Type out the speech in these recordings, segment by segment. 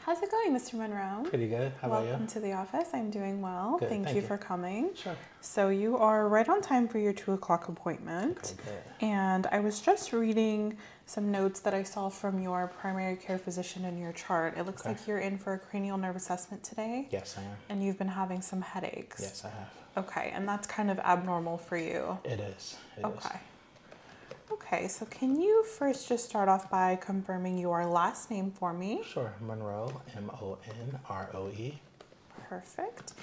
How's it going, Mr. Monroe? Pretty good. How Welcome about you? Welcome to the office. I'm doing well. thank, you, for coming. Sure. So you are right on time for your two o'clock appointment. Okay, and I was just reading some notes that I saw from your primary care physician in your chart. It looks like you're in for a cranial nerve assessment today. Yes, I am. And you've been having some headaches. Yes, I have. Okay, and that's kind of abnormal for you. It is. okay. Okay, so can you first just start off by confirming your last name for me? Sure, Monroe, M O N R O E. Perfect.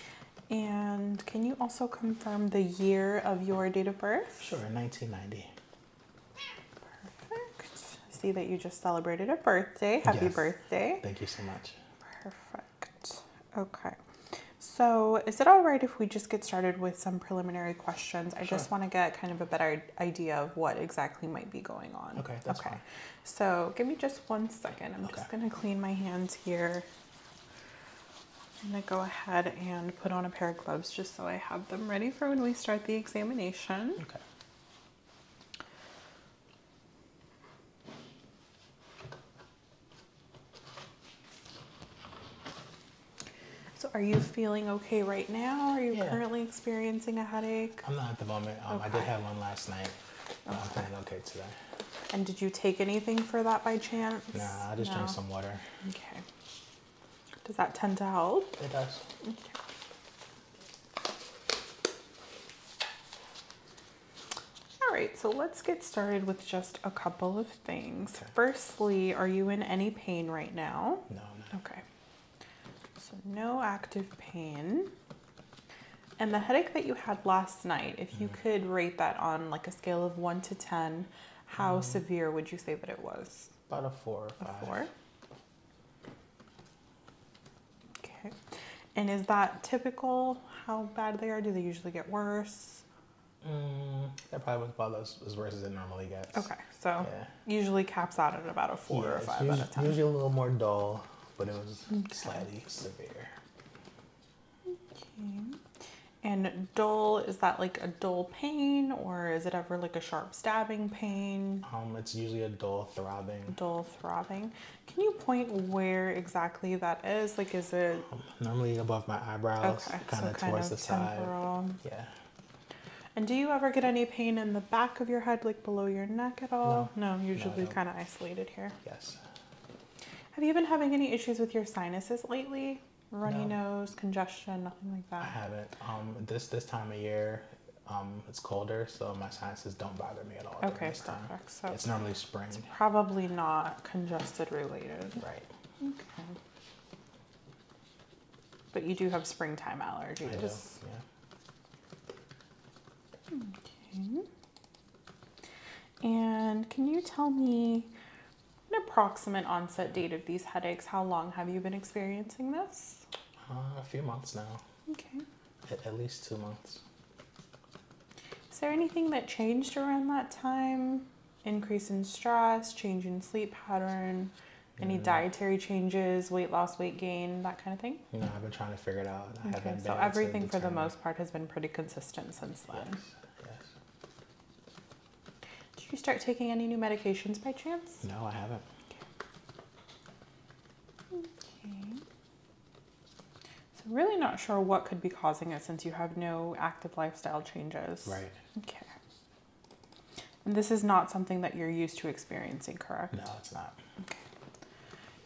And can you also confirm the year of your date of birth? Sure, 1990. Perfect. see that you just celebrated a birthday. Happy birthday. Thank you so much. Perfect. Okay. So is it all right if we just get started with some preliminary questions? I just want to get kind of a better idea of what exactly might be going on. Okay, okay. So give me just one second. I'm just going to clean my hands here. I'm going to go ahead and put on a pair of gloves just so I have them ready for when we start the examination. Okay. So are you feeling okay right now? Are you currently experiencing a headache? I'm not at the moment. Um, I did have one last night. but I'm feeling okay today. And did you take anything for that by chance? Nah, I just drank some water. Okay. Does that tend to help? It does. Okay. All right, so let's get started with just a couple of things. Firstly, are you in any pain right now? No. Okay. So no active pain. And the headache that you had last night, if you mm. could rate that on like a scale of 1 to 10, how mm. severe would you say that it was? About a 4 or 5. 4. Okay. And is that typical? How bad they are? Do they usually get worse? Mm, that probably was about as, as worse as it normally gets. Okay, so usually caps out at about a four or five at a time. Usually a little more dull, but it was slightly severe. Okay. And dull, is that like a dull pain or is it ever like a sharp stabbing pain? Um, it's usually a dull throbbing. Dull throbbing. Can you point where exactly that is? Like, is it normally above my eyebrows, kind of towards the side? Yeah. And do you ever get any pain in the back of your head, like below your neck at all? No, no usually kind of isolated here. Yes. Have you been having any issues with your sinuses lately? Runny nose, congestion, nothing like that. I haven't. Um, this this time of year, um, it's colder, so my sinuses don't bother me at all. Okay, this Time. So it's normally spring. probably not congested related. Right. Okay. But you do have springtime allergies. I do, yeah. Okay. And can you tell me an approximate onset date of these headaches? How long have you been experiencing this? Uh, a few months now. Okay. at least two months. Is there anything that changed around that time? Increase in stress, change in sleep pattern, any dietary changes, weight loss, weight gain, that kind of thing? No, I've been trying to figure it out. Okay, so everything for the most part has been pretty consistent since then. Did you start taking any new medications by chance? No, I haven't. okay. So really not sure what could be causing it since you have no active lifestyle changes. Right. Okay. And this is not something that you're used to experiencing, correct? No, it's not. Okay.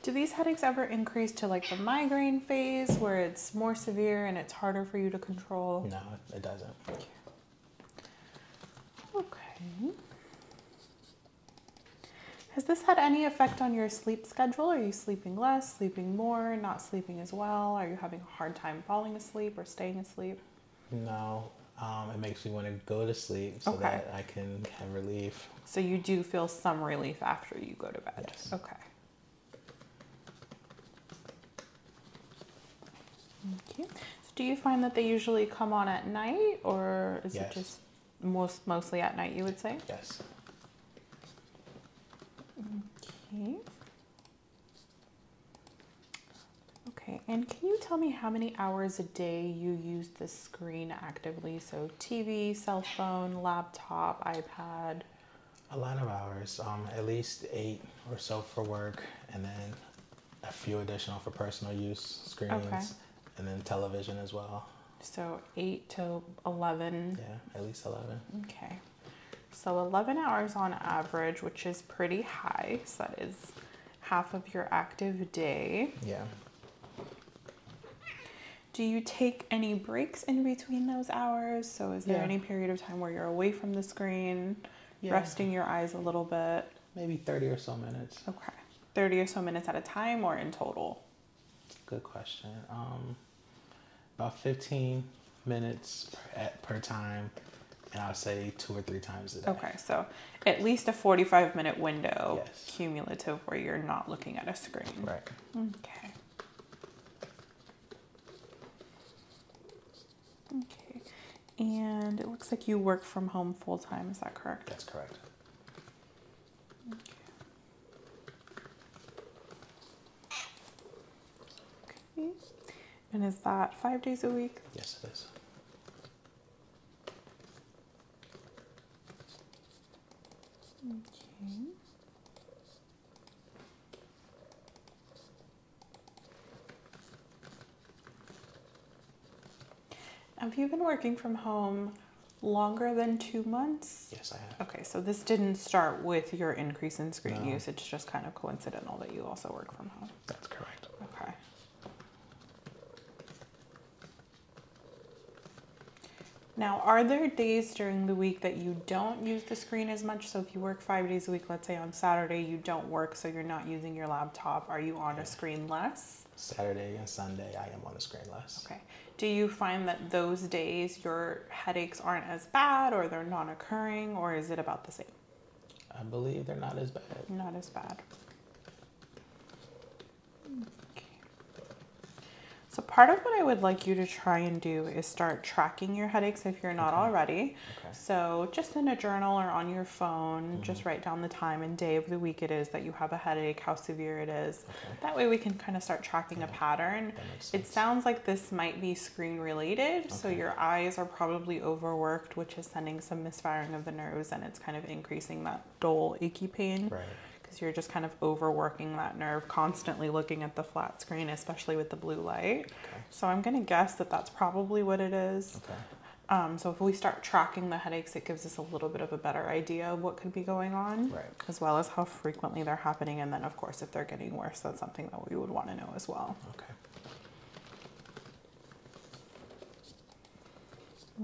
Do these headaches ever increase to like the migraine phase where it's more severe and it's harder for you to control? No, it doesn't. Okay. Has this had any effect on your sleep schedule? Are you sleeping less, sleeping more, not sleeping as well? Are you having a hard time falling asleep or staying asleep? No, um, it makes me want to go to sleep so that I can have relief. So you do feel some relief after you go to bed? Yes. Okay. Thank you. do you find that they usually come on at night or is it just most mostly at night you would say? Yes. Okay. Okay, and can you tell me how many hours a day you use the screen actively? So TV, cell phone, laptop, iPad? A lot of hours, um, at least eight or so for work, and then a few additional for personal use, screens, and then television as well. So 8 to 11. Yeah, at least 11. Okay. So 11 hours on average, which is pretty high. So that is half of your active day. Yeah. Do you take any breaks in between those hours? So is there any period of time where you're away from the screen, resting your eyes a little bit? Maybe 30 or so minutes. Okay. 30 or so minutes at a time or in total? Good question. Um, about 15 minutes per, time, and I'll say two or three times a day. Okay, so at least a 45 minute window cumulative where you're not looking at a screen. Right. Okay. Okay. And it looks like you work from home full time, is that correct? That's correct. Okay. And is that five days a week? Yes, it is. Okay. Have you been working from home longer than two months? Yes, I have. Okay, so this didn't start with your increase in screen use. It's just kind of coincidental that you also work from home. That's correct. Okay. Now, are there days during the week that you don't use the screen as much? So if you work five days a week, let's say on Saturday you don't work, so you're not using your laptop, are you on a screen less? Saturday and Sunday, I am on a screen less. Okay do you find that those days your headaches aren't as bad or they're not occurring or is it about the same? I believe they're not as bad. Not as bad. Okay. So, part of what I would like you to try and do is start tracking your headaches if you're not already. Okay. So, just in a journal or on your phone, just mm-hmm. write down the time and day of the week it is that you have a headache, how severe it is. That way we can kind of start tracking a pattern. It sounds like this might be screen related, so your eyes are probably overworked, which is sending some misfiring of the nerves and it's kind of increasing that dull, achy pain. Because you're just kind of overworking that nerve, constantly looking at the flat screen, especially with the blue light. So I'm going to guess that that's probably what it is. Um, so if we start tracking the headaches, it gives us a little bit of a better idea of what could be going on, as well as how frequently they're happening, and then, of course, if they're getting worse, that's something that we would want to know as well. Okay.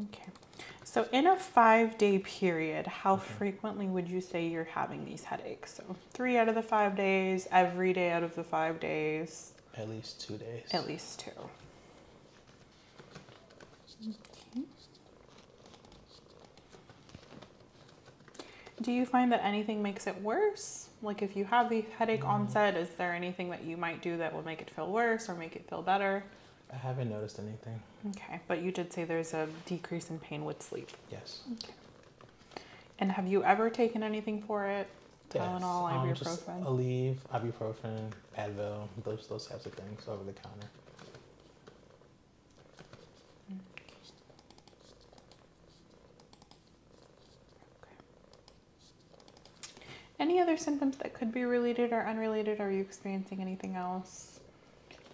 Okay. So, in a five day period, how frequently would you say you're having these headaches? So, three out of the five days, every day out of the five days? At least two days. At least two. Do you find that anything makes it worse? Like if you have the headache onset, mm. is there anything that you might do that will make it feel worse or make it feel better? I haven't noticed anything. Okay, but you did say there's a decrease in pain with sleep. Yes. Okay. And have you ever taken anything for it? Tylenol, yes. Um, ibuprofen. Aleve, ibuprofen, Advil, those those types of things over the counter. Any other symptoms that could be related or unrelated? Are you experiencing anything else?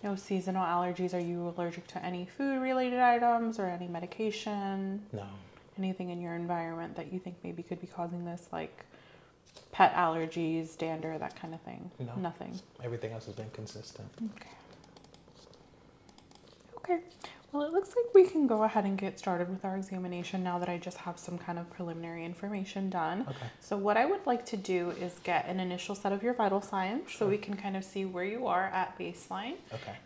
No seasonal allergies. Are you allergic to any food related items or any medication? No. Anything in your environment that you think maybe could be causing this, like pet allergies, dander, that kind of thing? No. Nothing. Everything else has been consistent. Okay. Okay. Well, it looks like we can go ahead and get started with our examination now that I just have some kind of preliminary information done. Okay. So what I would like to do is get an initial set of your vital signs so we can kind of see where you are at baseline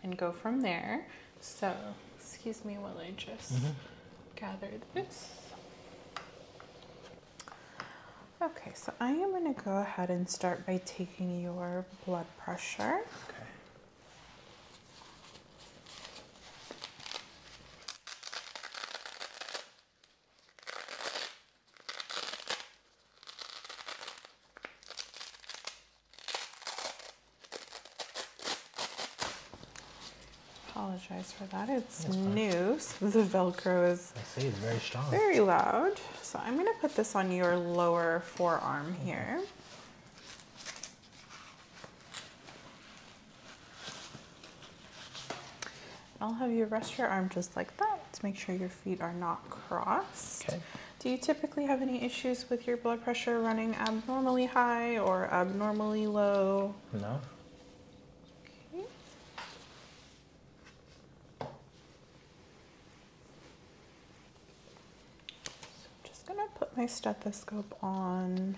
and go from there. So excuse me while I just mm-hmm. gather this. Okay, so I am going to go ahead and start by taking your blood pressure. Okay. Apologize for that. It's new, the Velcro is is see, it's very Very loud. So I'm going to put this on your lower forearm here. I'll have you rest your arm just like that to make sure your feet are not crossed. Okay. Do you typically have any issues with your blood pressure running abnormally high or abnormally low? No. Okay. So I'm just going to put my stethoscope on.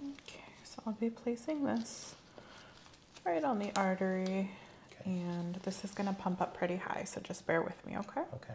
Okay, so I'll be placing this right on the artery and this is going to pump up pretty high, so just bear with me, okay? Okay.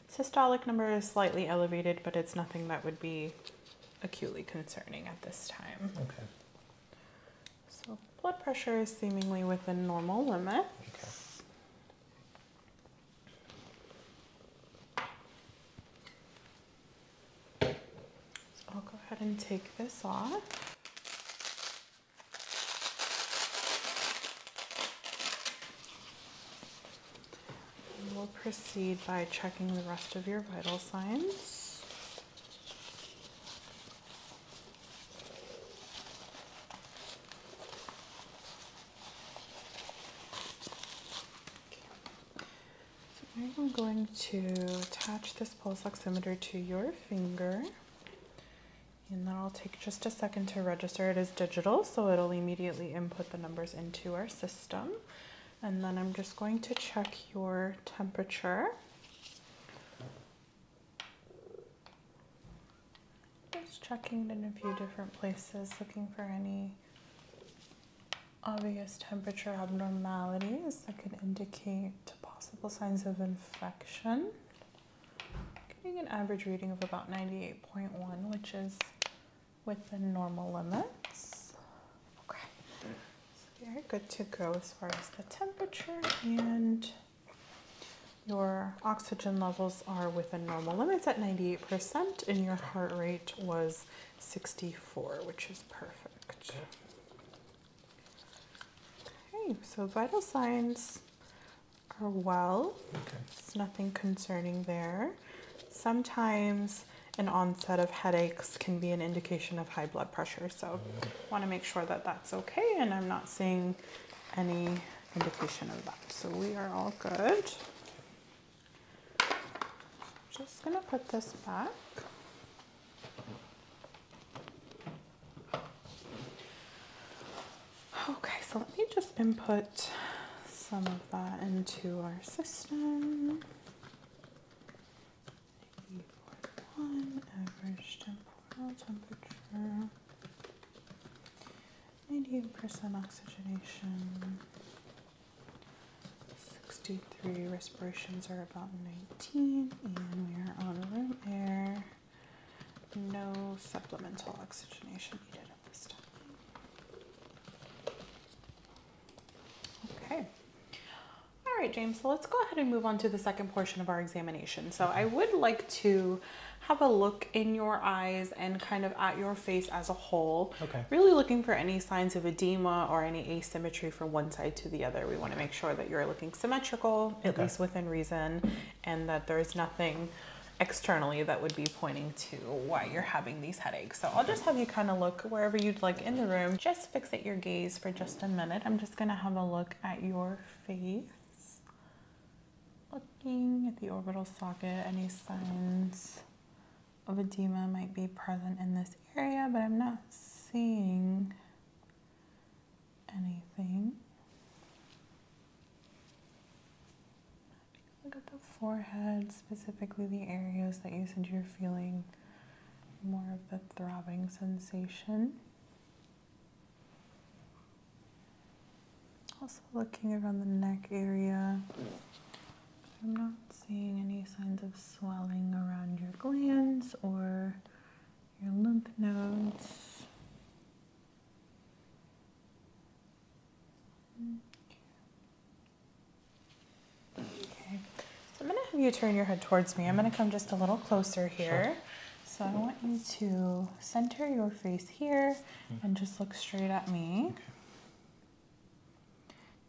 Systolic number is slightly elevated, but it's nothing that would be acutely concerning at this time. Okay. So blood pressure is seemingly within normal limits. Okay. I'll go ahead and take this off we'll proceed by checking the rest of your vital signs. So I'm going to attach this pulse oximeter to your finger. And that'll take just a second to register. It is digital, so it'll immediately input the numbers into our system. And then I'm just going to check your temperature. Just checking in a few different places, looking for any obvious temperature abnormalities that could indicate possible signs of infection. Getting an average reading of about 98.1, which is Within normal limits. Okay, so very good to go as far as the temperature and your oxygen levels are within normal limits at 98% and your heart rate was 64, which is perfect. Okay, so vital signs are well. Okay. It's nothing concerning there. Sometimes an onset of headaches can be an indication of high blood pressure. So I want to make sure that that's okay and I'm not seeing any indication of that. So we are all good. Just going to put this back. Okay, so let me just input some that into our system. e average temperature. 98% oxygenation. 63 respirations are about 19 and we are on room air. No supplemental oxygenation needed at this time. Okay. All right, James, so let's go ahead and move on to the second portion of our examination. So I would like to have a look in your eyes and kind of at your face as a whole. Okay. Really looking for any signs of edema or any asymmetry from one side to the other. We want to make sure that you're looking symmetrical, at least within reason, and that there's nothing externally that would be pointing to why you're having these headaches. So I'll just have you kind of look wherever you'd like in the room. Just fixate your gaze for just a minute. I'm just gonna have a look at your face. Looking at the orbital socket, any signs of edema might be present in this area, but I'm not seeing anything. Look at the forehead, specifically the areas that you said you're feeling more of the throbbing sensation. Also, looking around the neck area, I'm not seeing any signs of swelling around your glands or your lymph nodes. Mm, Okay, so I'm going to have you turn your head towards me. I'm going to come just a little closer here. Sure. So I want you to center your face here mm-hmm. and just look straight at me. Okay.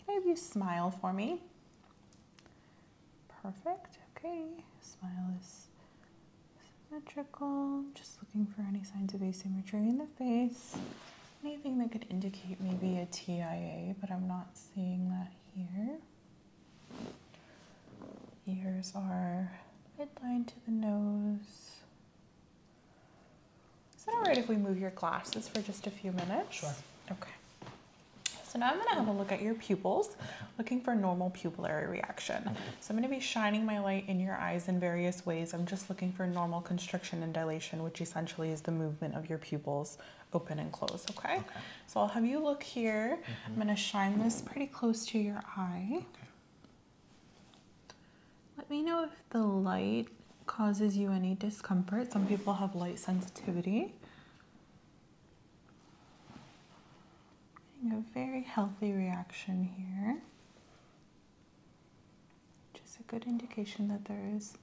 Can I have you smile for me? Perfect. Okay, smile is symmetrical. Just looking for any signs of asymmetry in the face anything that could indicate maybe a TIA, but I'm not seeing that here. Here's our midline to the nose. Is that all right if we move your glasses for just a few minutes? Sure. Okay. So now I'm gonna have a look at your pupils, looking for normal pupillary reaction. So I'm gonna be shining my light in your eyes in various ways. I'm just looking for normal constriction and dilation, which essentially is the movement of your pupils open and close, okay? So I'll have you look here. Mm-hmm. I'm gonna shine this pretty close to your eye. Let me know if the light causes you any discomfort. Some people have light sensitivity. Getting a very healthy reaction here which is a good indication that there is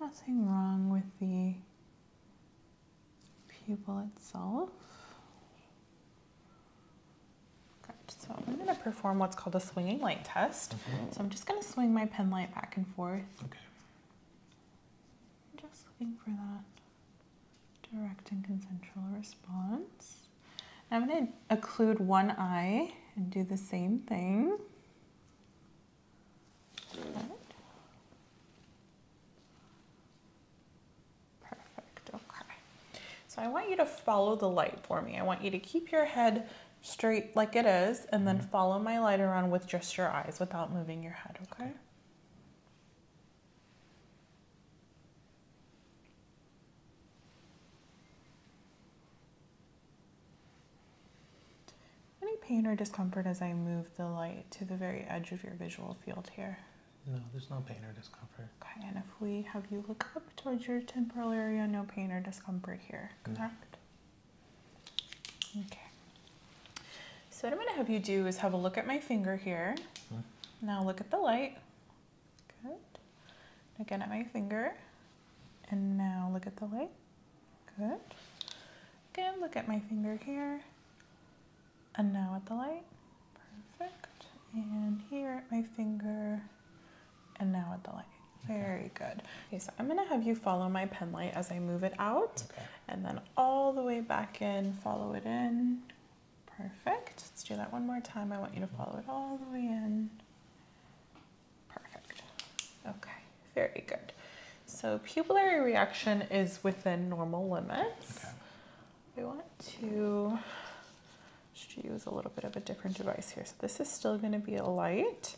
nothing wrong with the pupil itself. Good. So I'm going to perform what's called a swinging light test. Mm-hmm. So I'm just going to swing my pen light back and forth. Okay. just looking for that direct and consensual response. I'm going to occlude one eye and do the same thing. Perfect, okay. So I want you to follow the light for me. I want you to keep your head straight like it is and then mm-hmm. follow my light around with just your eyes without moving your head, okay. Any pain or discomfort as I move the light to the very edge of your visual field here? No, there's no pain or discomfort. Okay, and if we have you look up towards your temporal area, no pain or discomfort here, correct? Okay. So what I'm going to have you do is have a look at my finger here. Mm-hmm. Now look at the light. Good. Again at my finger. And now look at the light. Good. Again, look at my finger here. And now at the light. Perfect. And here at my finger. And now at the light. Very good. Okay, so I'm gonna have you follow my pen light as I move it out and then all the way back in, follow it in. Perfect. Let's do that one more time. I want you to follow it all the way in Perfect. Okay, very good. So pupillary reaction is within normal limits. Okay. We want to just use a little bit of a different device here. So this is still going to be a light.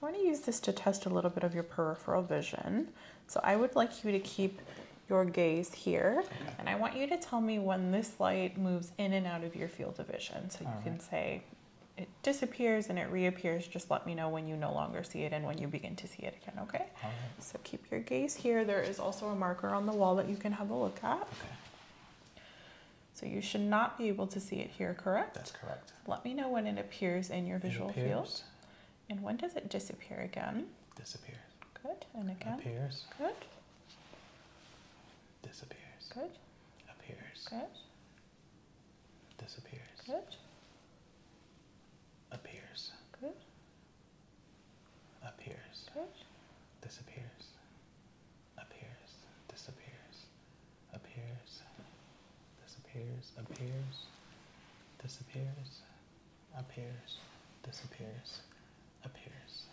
I want to use this to test a little bit of your peripheral vision. So I would like you to keep your gaze here and I want you to tell me when this light moves in and out of your field of vision. So you can say it disappears and it reappears, just let me know when you no longer see it and when you begin to see it again, okay? So keep your gaze here. There is also a marker on the wall that you can have a look at. Okay. So you should not be able to see it here, correct? That's correct. Let me know when it appears in your visual field. And when does it disappear again? Disappears. Good. And again? Appears. Good. Disappears. Good. Appears. Good. Disappears. Good. Appears. Good. Appears. Good. Disappears. Appears. Disappears. Appears. Disappears. Appears. Disappears. Appears. Disappears. Appears.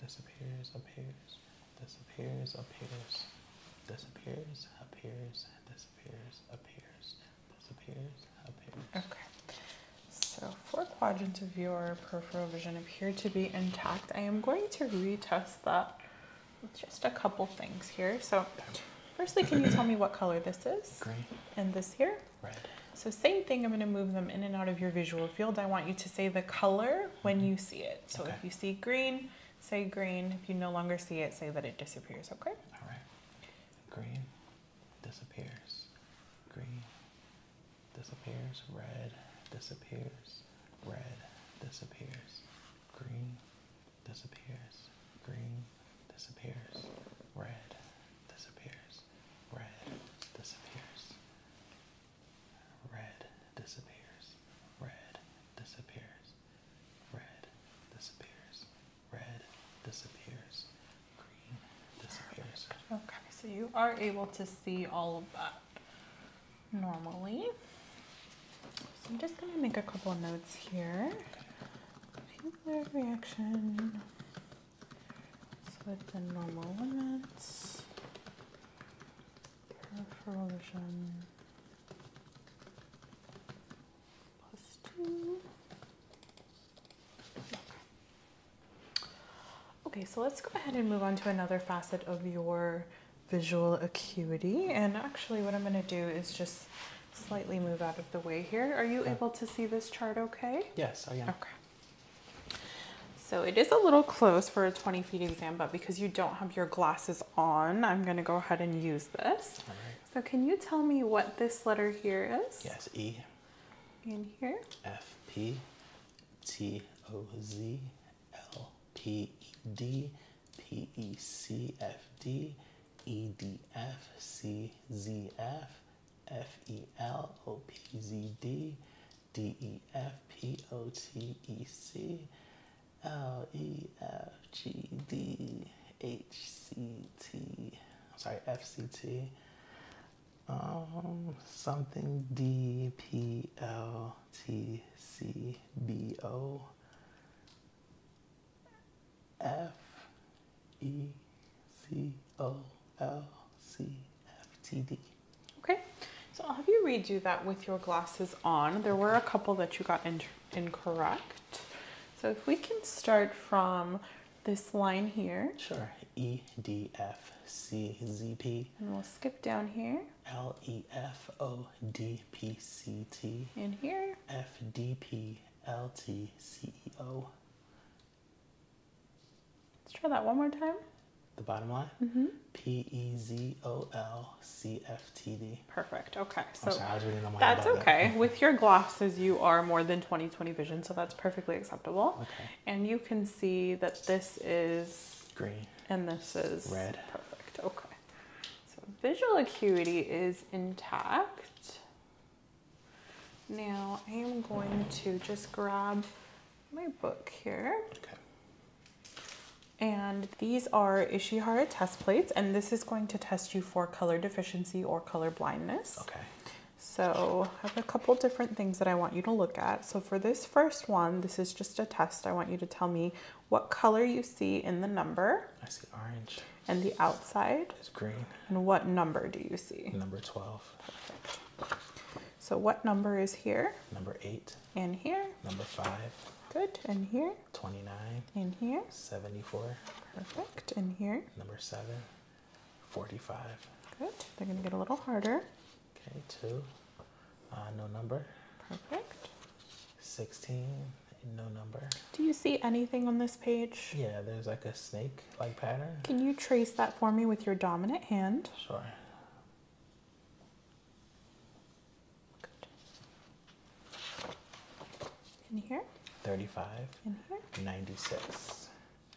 Disappears. Appears disappears, appears, disappears, appears, disappears, appears, disappears, appears. Okay. So four quadrants of your peripheral vision appear to be intact. I am going to retest that with just a couple things here. So firstly, can you tell me what color this is? Green. And this here? Red. So same thing, I'm gonna move them in and out of your visual field. I want you to say the color when mm-hmm. you see it. So if you see green, say green. If you no longer see it, say that it disappears, okay? All right. Green disappears. Green disappears. Red disappears. Red disappears. Green disappears. Green disappears. Red disappears. Red disappears. Red disappears. Red disappears. Red disappears. Red disappears. Green disappears. Okay, so you are able to see all of that normally. So I'm just going to make a couple notes here. Pupillary reaction is the normal limits plus two. Okay, so let's go ahead and move on to another facet of your visual acuity. And actually, what I'm going to do is just slightly move out of the way here. Are you able to see this chart okay? Yes, I am. Okay. So it is a little close for a 20 feet exam, but because you don't have your glasses on, I'm going to go ahead and use this. So can you tell me what this letter here is? Yes, E. In here? F P T O Z L P E D P E C F D E D F C Z F F E L O P Z D D E F P O T E C L E F G D H C T. I'm sorry, F C T. Um, something D P L T C B O F E C O L C F T D. Okay, so I'll have you redo that with your glasses on. There were a couple that you got in incorrect. So if we can start from this line here. Sure, E, D, F, C, Z, P. And we'll skip down here. L, E, F, O, D, P, C, T. In here. F, D, P, L, T, C, E, O. Let's try that one more time the bottom line. Mm-hmm. C F T D. Perfect. Okay. So that's okay. With your glasses, you are more than 20 20 vision, so that's perfectly acceptable. Okay. And you can see that this is green and this is red. Perfect. Okay. So visual acuity is intact. Now I am going to just grab my book here. Okay. And these are Ishihara test plates, and this is going to test you for color deficiency or color blindness. Okay. So I have a couple different things that I want you to look at. So for this first one, this is just a test. I want you to tell me what color you see in the number. I see orange. And the outside. Is green. And what number do you see? Number 12. Perfect. So what number is here? Number eight. In here. Number five. Good. In here. 29. In here. 74. Perfect. In here. Number seven. 45. Good. They're going to get a little harder. Okay, two. Uh, no number. Perfect. 16. No number. Do you see anything on this page? Yeah, there's like a snake like pattern. Can you trace that for me with your dominant hand? Sorry. In here? 35. In here? 96.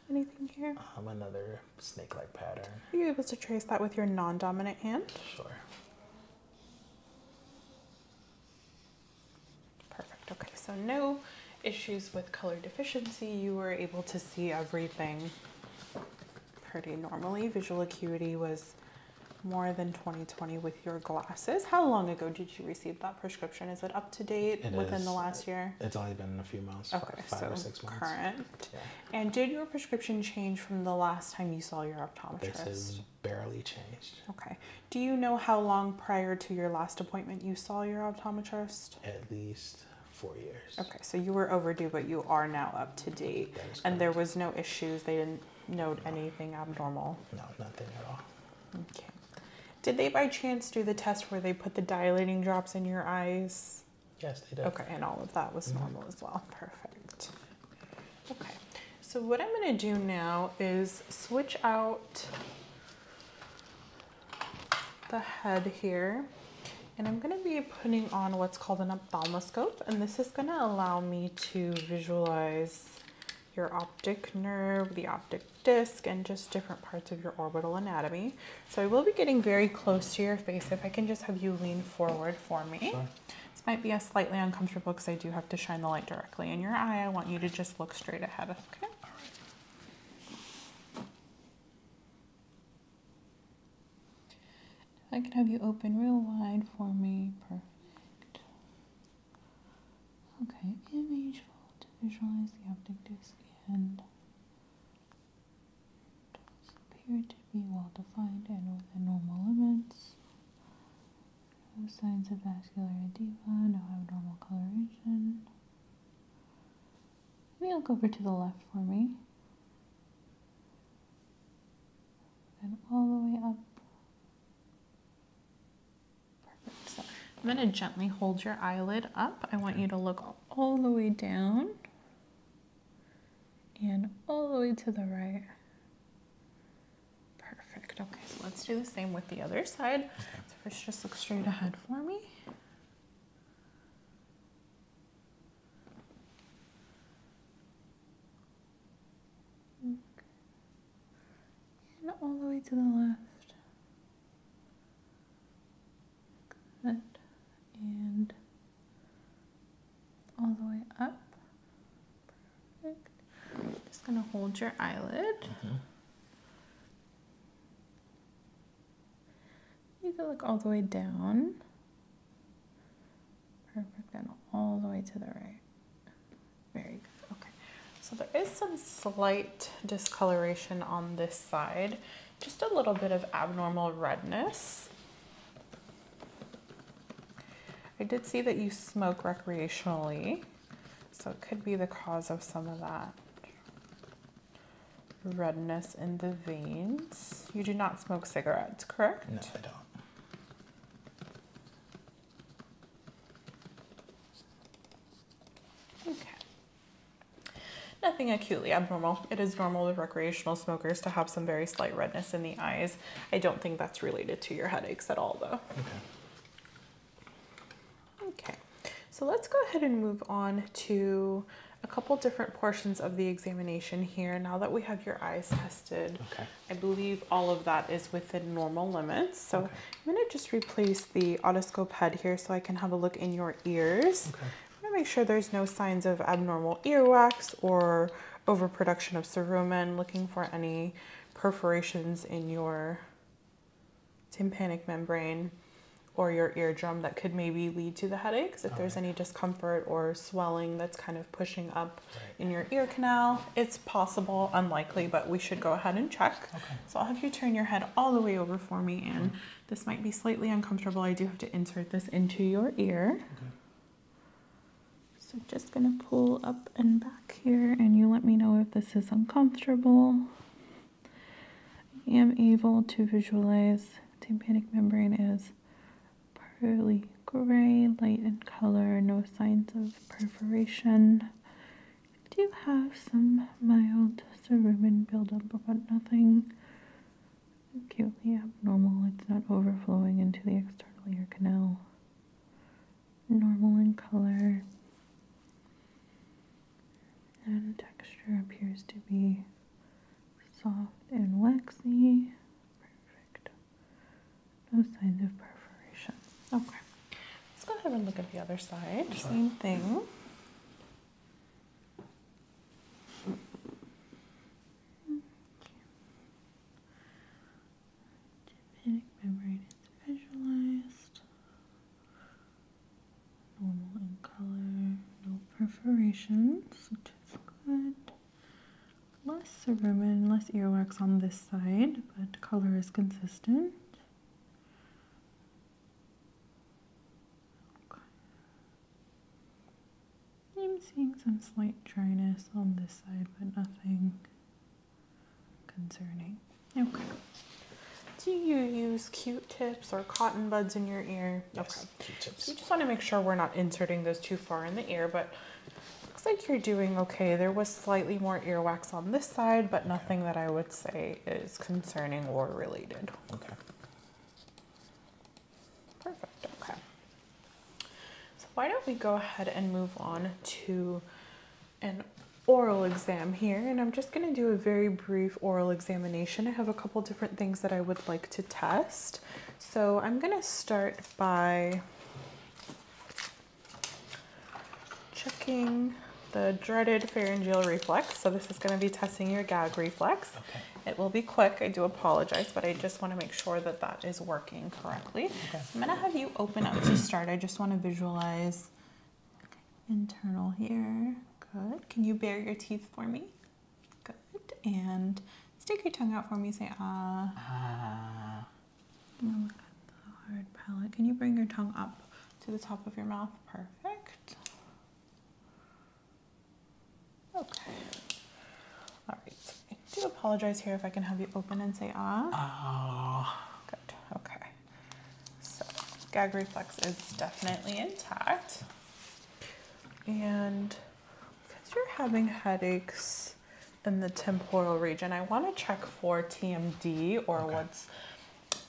Anything here? Um, another snake-like pattern. Are you able to trace that with your non-dominant hand? Sure. Perfect. Okay, so no issues with color deficiency. You were able to see everything Pretty Normally, visual acuity was more than 20/20 with your glasses. How long ago did you receive that prescription? Is it up to date within the last year? It's only been a few months. Okay, five so or six months. Current. And did your prescription change from the last time you saw your optometrist? This has barely changed. Okay. Do you know how long prior to your last appointment you saw your optometrist? At least four years. Okay, so you were overdue, but you are now up to date. And there was no issues. They didn't note anything abnormal. No, nothing at all. Okay. Did they by chance do the test where they put the dilating drops in your eyes? Yes, they did. Okay, and all of that was mm-hmm. normal as well. Perfect. Okay. So what I'm going to do now is switch out the head here. And I'm going to be putting on what's called an ophthalmoscope, and this is going to allow me to visualize your optic nerve, the optic disc, and just different parts of your orbital anatomy. So I will be getting very close to your face. If I can just have you lean forward for me. it might be a slightly uncomfortable because I do have to shine the light directly in your eye. I want you to just look straight ahead, okay? I can have you open real wide for me, perfect. Okay, image fold to visualize the optic disc and does appear to be well defined and within normal limits. No signs of vascular edema, no abnormal coloration. Maybe I'll go over to the left for me and all the way up. Perfect. So I'm going to gently hold your eyelid up. I want you to look all the way down and all the way to the right. Perfect. Okay, so let's do the same with the other side. So first, just look straight ahead for me and all the way to the left. Good. And all the way up. Perfect. Just gonna hold your eyelid. Mm-hmm. You can look all the way down. Perfect, And all the way to the right. Very good, okay. So there is some slight discoloration on this side, just a little bit of abnormal redness. I did see that you smoke recreationally, so it could be the cause of some of that redness in the veins. You do not smoke cigarettes, correct? No, I don't. Okay. Nothing acutely abnormal. It is normal with recreational smokers to have some very slight redness in the eyes. I don't think that's related to your headaches at all though. Okay. Okay. So let's go ahead and move on to a couple different portions of the examination here now that we have your eyes tested. Okay. I believe all of that is within normal limits. So I'm gonna just replace the otoscope head here so I can have a look in your ears. I'm gonna make sure there's no signs of abnormal ear wax or overproduction of cerumen, looking for any perforations in your tympanic membrane or your eardrum that could maybe lead to the headaches if there's any discomfort or swelling that's kind of pushing up in your ear canal. It's possible, unlikely, but we should go ahead and check. Okay. So I'll have you turn your head all the way over for me, and this might be slightly uncomfortable. I do have to insert this into your ear. Okay. So just gonna pull up and back here, and you let me know if this is uncomfortable. I am able to visualize tympanic membrane is pearly gray, light in color, no signs of perforation. do have some mild cerumen buildup, but nothing acutely abnormal. It's not overflowing into the external ear canal. Normal in color and texture appears to be soft and waxy. Perfect. No signs of perforation. Okay. Let's go ahead and look at the other side. Same thing. membrane is visualized. Normal in color, no perforations, which is good less cerumen, less earwax on this side, but color is consistent. I'm seeing some slight dryness on this side, but nothing concerning. Okay. Do you use Q-tips or cotton buds in your ear? Yes, okay. just want to make sure we're not inserting those too far in the ear, but Looks like you're doing okay. There was slightly more earwax on this side, but nothing that I would say is concerning or related. Okay. Perfect, okay. So why don't we go ahead and move on to an oral exam here and I'm just going to do a very brief oral examination. I have a couple different things that I would like to test. So I'm going to start by checking the dreaded pharyngeal reflex. So this is going to be testing your gag reflex. Okay. It will be quick. I do apologize, but I just want to make sure that that is working correctly. Okay. I'm going to have you open up to start. I just want to visualize internal here. Good. Can you bare your teeth for me? Good. And stick your tongue out for me. Say ah. Ah. look at the hard palate. Can you bring your tongue up to the top of your mouth? Perfect. Okay. All right. I do apologize here if I can have you open and say ah. Ah. Good. Okay. So gag reflex is definitely intact. And because you're having headaches in the temporal region. I want to check for TMD or what's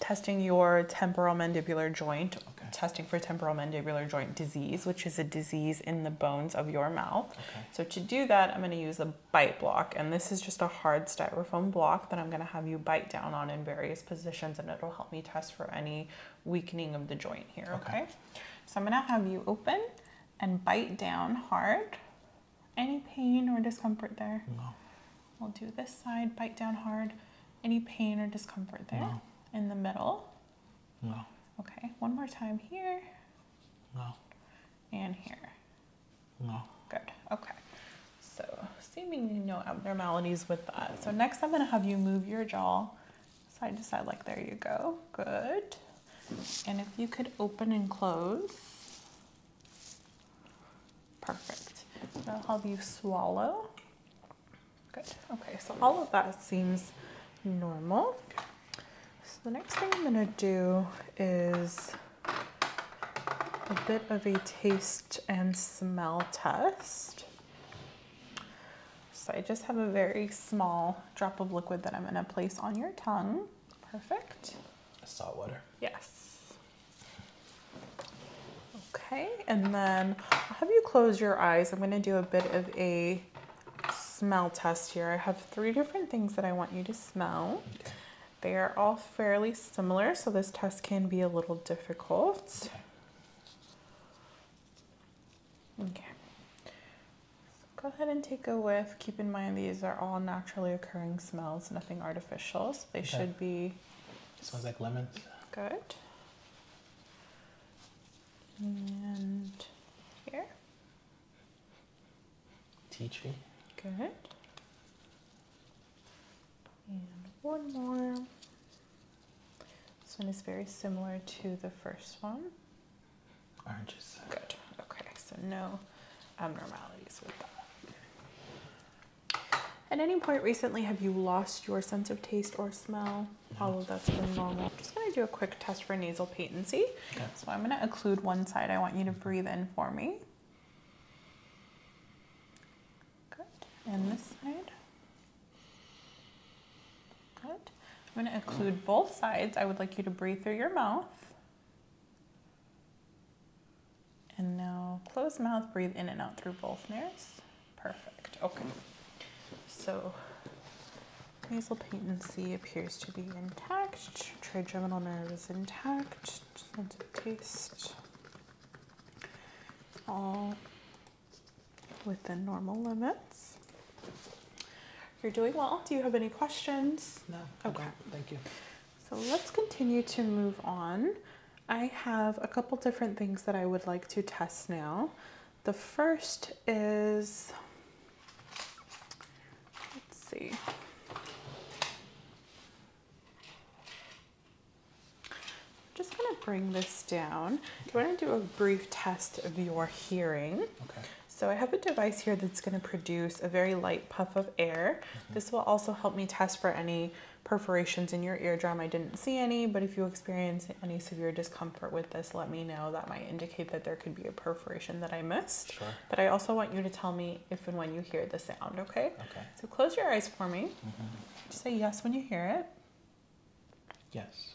testing your temporal mandibular joint, testing for temporal mandibular joint disease, which is a disease in the bones of your mouth. So to do that, I'm going to use a bite block. And this is just a hard styrofoam block that I'm going to have you bite down on in various positions and it'll help me test for any weakening of the joint here, okay? So I'm going to have you open and bite down hard. Any pain or discomfort there? No. We'll do this side, bite down hard. Any pain or discomfort there? No. In the middle? No. Okay, one more time here. No. And here? No. Good, okay. So seemingly no abnormalities with that. So next I'm gonna have you move your jaw side to side like there you go good and if you could open and close perfect now i'll have you swallow good okay so all of that seems normal so the next thing i'm going to do is a bit of a taste and smell test so I just have a very small drop of liquid that I'm gonna place on your tongue. Perfect. Salt water. Yes. Okay, and then I'll have you close your eyes. I'm gonna do a bit of a smell test here. I have three different things that I want you to smell. They are all fairly similar, so this test can be a little difficult. Okay. go ahead and take a whiff. Keep in mind these are all naturally occurring smells, nothing artificial. they should be. smells like lemons. Good. And here. Tea tree. Good. And one more. This one is very similar to the first one. Good. Okay, so no abnormalities with that. At any point recently, have you lost your sense of taste or smell? No. All of that's been normal. just gonna do a quick test for nasal patency. Okay. So I'm gonna occlude one side. I want you to breathe in for me. Good. And this side. Good. I'm going to include both sides. I would like you to breathe through your mouth. And now close mouth, breathe in and out through both nares. Perfect. Okay. So nasal patency appears to be intact. Trigeminal nerve is intact. Sense of taste. All within normal limits. You're doing well. Do you have any questions? No. Okay. Thank you. So let's continue to move on. I have a couple different things that I would like to test now. The first is, let's see. I'm just gonna bring this down. Okay. We're to do a brief test of your hearing. Okay. So I have a device here that's going to produce a very light puff of air. Mm-hmm. This will also help me test for any perforations in your eardrum. I didn't see any, but if you experience any severe discomfort with this, let me know. That might indicate that there could be a perforation that I missed. Sure. But I also want you to tell me if and when you hear the sound, okay? Okay. So close your eyes for me. Mm-hmm. say yes when you hear it. Yes.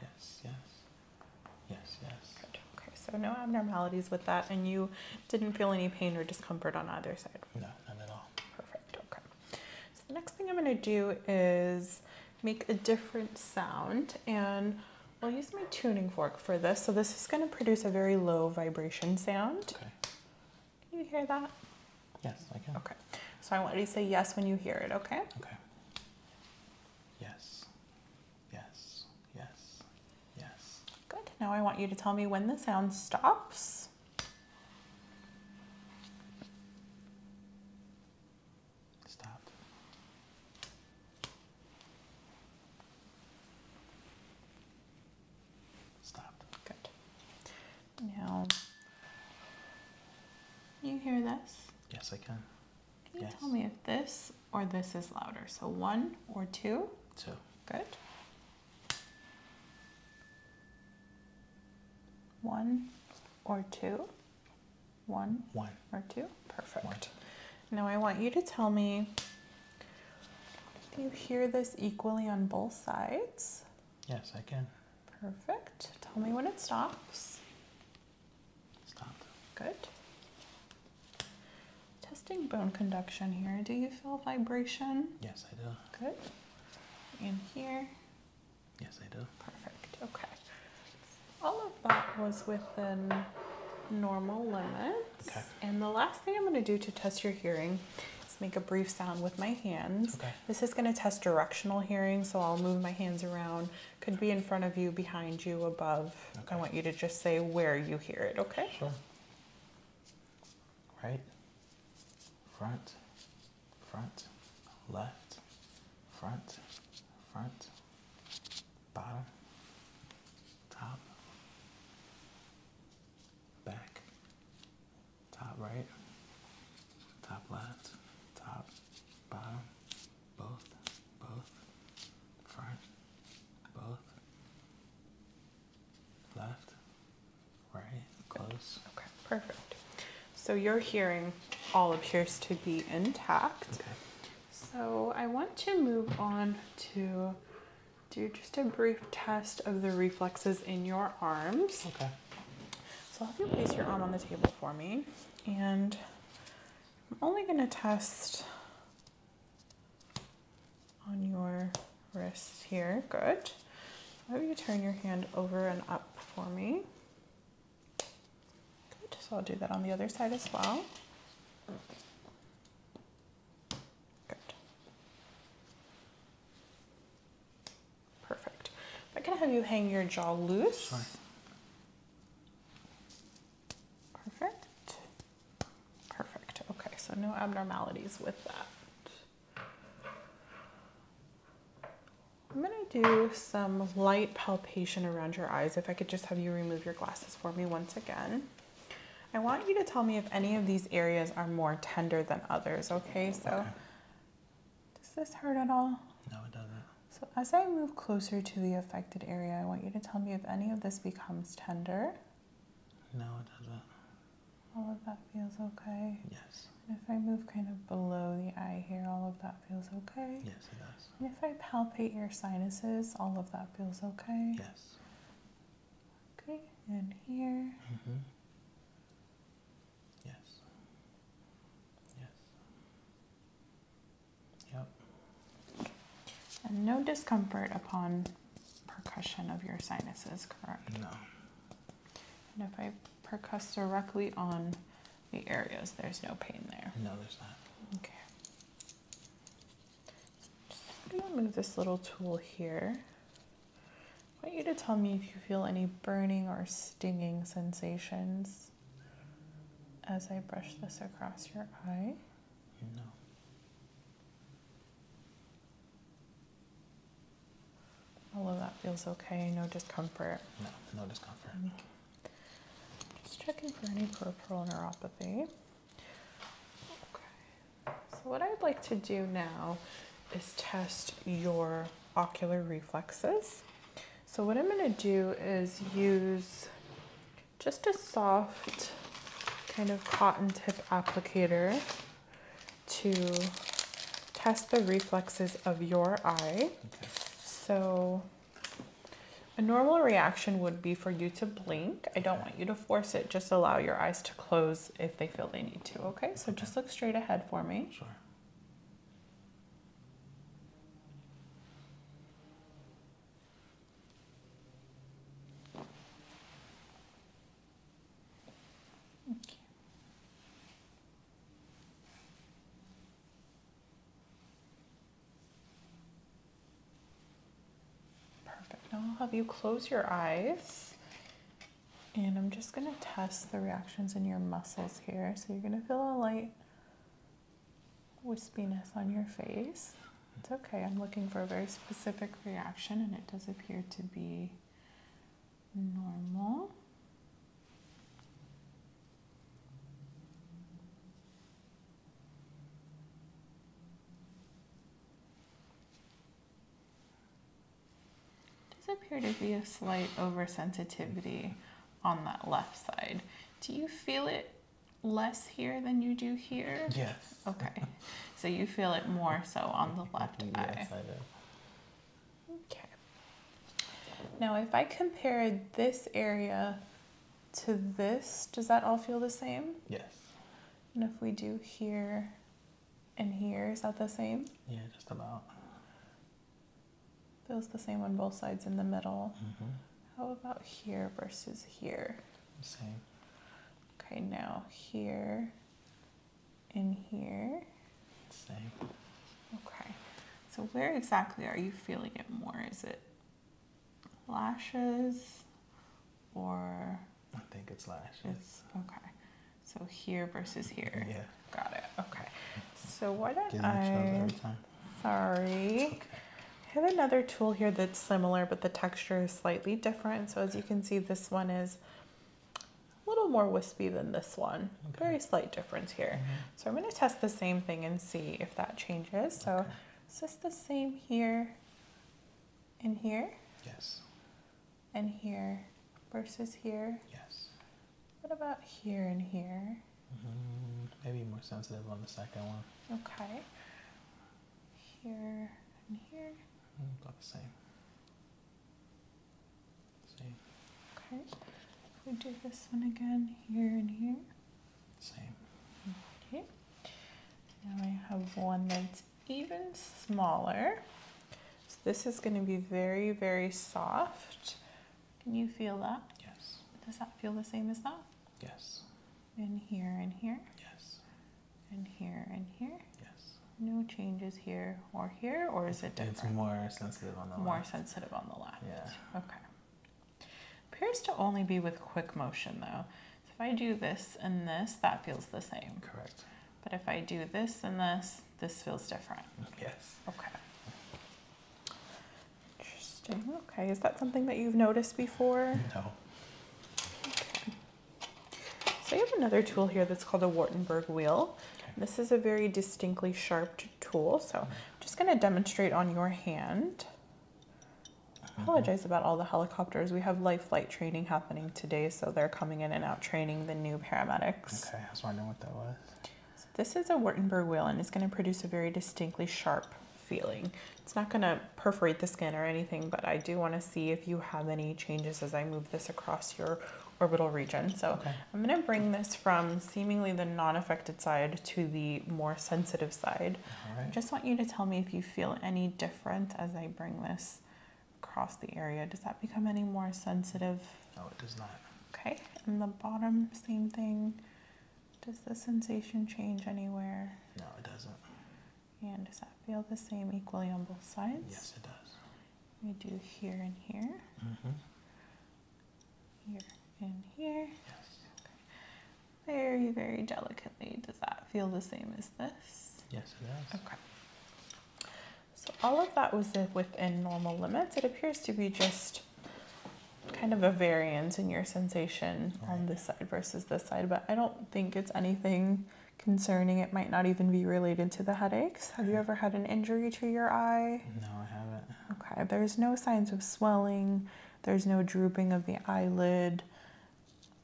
yes, yes, yes, yes. Good. Okay, so no abnormalities with that, and you didn't feel any pain or discomfort on either side. No, none at all. Perfect. Okay. So the next thing I'm going to do is make a different sound, and I'll use my tuning fork for this. So this is going to produce a very low vibration sound. Okay. Can you hear that? Yes, I can. Okay. So I want you to say yes when you hear it, okay? Okay. Yes. Yes. Yes. Yes. Good. Now I want you to tell me when the sound stops. Stop. Stopped. Good. Now, you hear this? Yes, I can. Can you tell me if this or this is louder? So one or two? Two. Good. One or two? One. One. Or two? Perfect. One. Now I want you to tell me do you hear this equally on both sides? Yes, I can. Perfect. Tell me when it stops. Stopped. Good. Testing bone conduction here. Do you feel vibration? Yes, I do. Good. In here? Yes, I do. Perfect. Okay. All of that was within normal limits. Okay. And the last thing I'm going to do to test your hearing is make a brief sound with my hands. Okay. This is going to test directional hearing, so I'll move my hands around could be in front of you, behind you, above. I want you to just say where you hear it, okay? Sure. Right, front, front, left, front, front, bottom, top, back, top right, top left, top, bottom, both, both, front, both, left, right, close. Okay, perfect. So your hearing all appears to be intact. Okay. So I want to move on to do just a brief test of the reflexes in your arms. Okay. So I'll have you place your arm on the table for me and I'm only going to test on your wrist here. Good. I'll you turn your hand over and up for me. Good. So I'll do that on the other side as well. Good. Perfect. I'm going have you hang your jaw loose. Perfect. Perfect. Okay, so no abnormalities with that. I'm gonna do some light palpation around your eyes. If I could just have you remove your glasses for me once again. I want you to tell me if any of these areas are more tender than others, okay? So, does this hurt at all? No, it doesn't. So as I move closer to the affected area, I want you to tell me if any of this becomes tender. No, it doesn't. All of that feels okay? Yes. if I move kind of below the eye here, all of that feels okay? Yes, it does. if I palpate your sinuses, all of that feels okay? Yes. Okay, and here. Mm-hmm. Yes. Yes. Yep. And no discomfort upon percussion of your sinuses, correct? No. And if I percuss directly on the areas, there's no pain there. No, there's not. Okay. Just, gonna move this little tool here. I want you to tell me if you feel any burning or stinging sensations as I brush this across your eye you All of that feels okay, no discomfort. No, no discomfort. Just checking for any peripheral neuropathy. Okay, so what I'd like to do now is test your ocular reflexes. So, what I'm going to do is use just a soft kind of cotton tip applicator to test the reflexes of your eye. So a normal reaction would be for you to blink. I don't want you to force it. Just allow your eyes to close if they feel they need to, okay? So just look straight ahead for me. Sure. Perfect. Now I'll have you close your eyes. And I'm just going to test the reactions in your muscles here. So you're going to feel a light wispiness on your face. It's okay. I'm looking for a very specific reaction, and it does appear to be normal. does appear to be a slight oversensitivity on that left side. Do you feel it less here than you do here? Yes. Okay. so you feel it more so on the left eye. Okay. Now, if I compare this area to this, does that all feel the same? Yes. And if we do here and here, is that the same? Yeah, just about. Feels the same on both sides in the middle. Mm-hmm. How about here versus here? Same. Okay, now here and here. Same. Okay. So where exactly are you feeling it more? Is it lashes or I think it's lashes. okay. So here versus here. Yeah. Got it. Okay. So why don't I? Every time. Sorry. I have another tool here that's similar, but the texture is slightly different. So as you can see, this one is a little more wispy than this one. Very slight difference here. Mm-hmm. So I'm gonna test the same thing and see if that changes. So it's just the same here and here? Yes. And here versus here? Yes. What about here and here? Mm, maybe more sensitive on the second one. Okay. Here and here. Mm, about the same. Same. Okay. we do this one again here and here. Same. Okay. Now I have one that's even smaller. So this is going to be very, very soft. Can you feel that? Yes. Does that feel the same as that? Yes. And here and here? Yes. And here and here? Yes. No changes here or here, or is it different? It's more sensitive on the more left. More sensitive on the left. Yeah. Okay. Appears to only be with quick motion though. So if I do this and this, that feels the same. Correct. But if I do this and this, this feels different. Yes. Okay. Interesting. Okay. Is that something that you've noticed before? No. Okay. So you have another tool here that's called a Wartenberg wheel. Okay. This is a very distinctly sharp tool. So mm-hmm. I'm just going to demonstrate on your hand. I mm-hmm. apologize about all the helicopters. We have life training happening today, so they're coming in and out training the new paramedics. Okay, I was wondering what that was. So this is a Wartenberg wheel, and it's going to produce a very distinctly sharp feeling. It's not gonna perforate the skin or anything, but I do wanna see if you have any changes as I move this across your orbital region. So I'm gonna bring this from seemingly the non-affected side to the more sensitive side. I just want you to tell me if you feel any different as I bring this across the area. Does that become any more sensitive? No, it does not. Okay, and the bottom, same thing. Does the sensation change anywhere? No, it doesn't. And does that feel the same equally on both sides? Yes, it does. We do here and here. Mm-hmm. Here and here. Yes. Okay. Very, very delicately. Does that feel the same as this? Yes, it does. Okay. So all of that was within normal limits. It appears to be just kind of a variance in your sensation on this side versus this side, but I don't think it's anything concerning. It might not even be related to the headaches. Have you ever had an injury to your eye? No, I haven't. Okay, there's no signs of swelling, there's no drooping of the eyelid.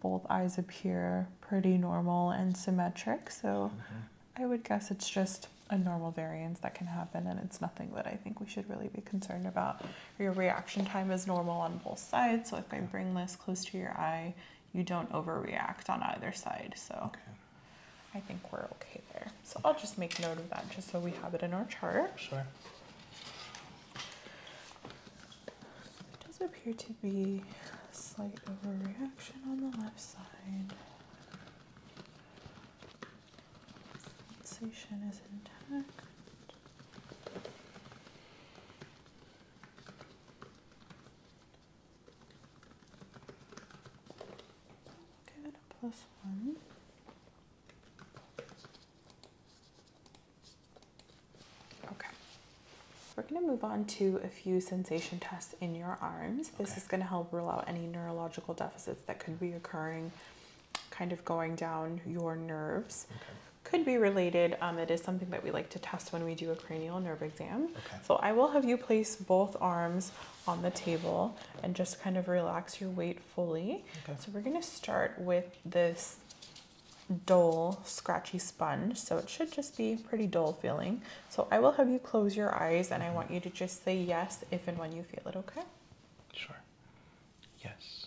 Both eyes appear pretty normal and symmetric, so mm-hmm. I would guess it's just a normal variance that can happen, and it's nothing that I think we should really be concerned about. Your reaction time is normal on both sides. So if I bring this close to your eye, you don't overreact on either side. So I think we're okay there. So I'll just make note of that just so we have it in our chart. Sure. It does appear to be a slight overreaction on the left side. Sensation is intact. Okay. We're going to move on to a few sensation tests in your arms. This is going to help rule out any neurological deficits that could be occurring kind of going down your nerves. Could be related. Um, it is something that we like to test when we do a cranial nerve exam. So I will have you place both arms on the table and just kind of relax your weight fully. So we're going to start with this dull, scratchy sponge. So it should just be pretty dull feeling. So I will have you close your eyes and I mm-hmm. want you to just say yes if and when you feel it, okay? Sure. Yes.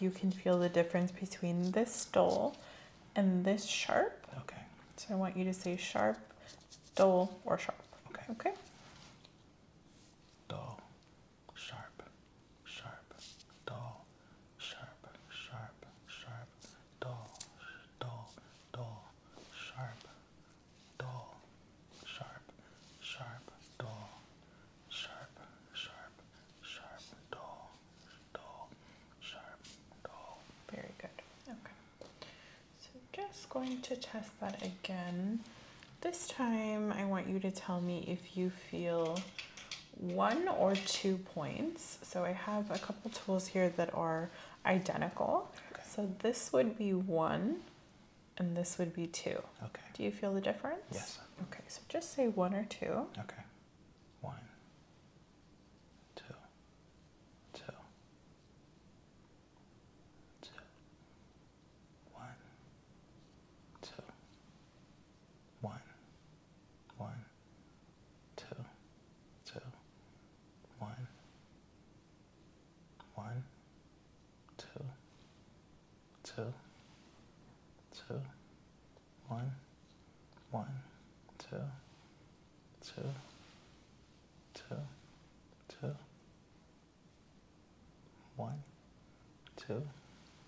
you can feel the difference between this dull and this sharp. Okay. So I want you to say sharp, dull, or sharp. Okay. Okay. Dull, sharp, sharp, dull, sharp, sharp, sharp, dull, dull, dull, sharp, dull, sharp, sharp, dull, sharp, sharp, sharp, dull dull, sharp, dull. Very good. Okay. So just going to test that again. This time I want you to tell me if you feel one or two points. So I have a couple tools here that are identical. Okay. So this would be one and this would be two. Okay. Do you feel the difference? Yes. Okay, so just say one or two. Okay. One, two, two, two, one, two, one, one, two, two, one, one, two, two, two. One, one, two, two, two, two, one, two,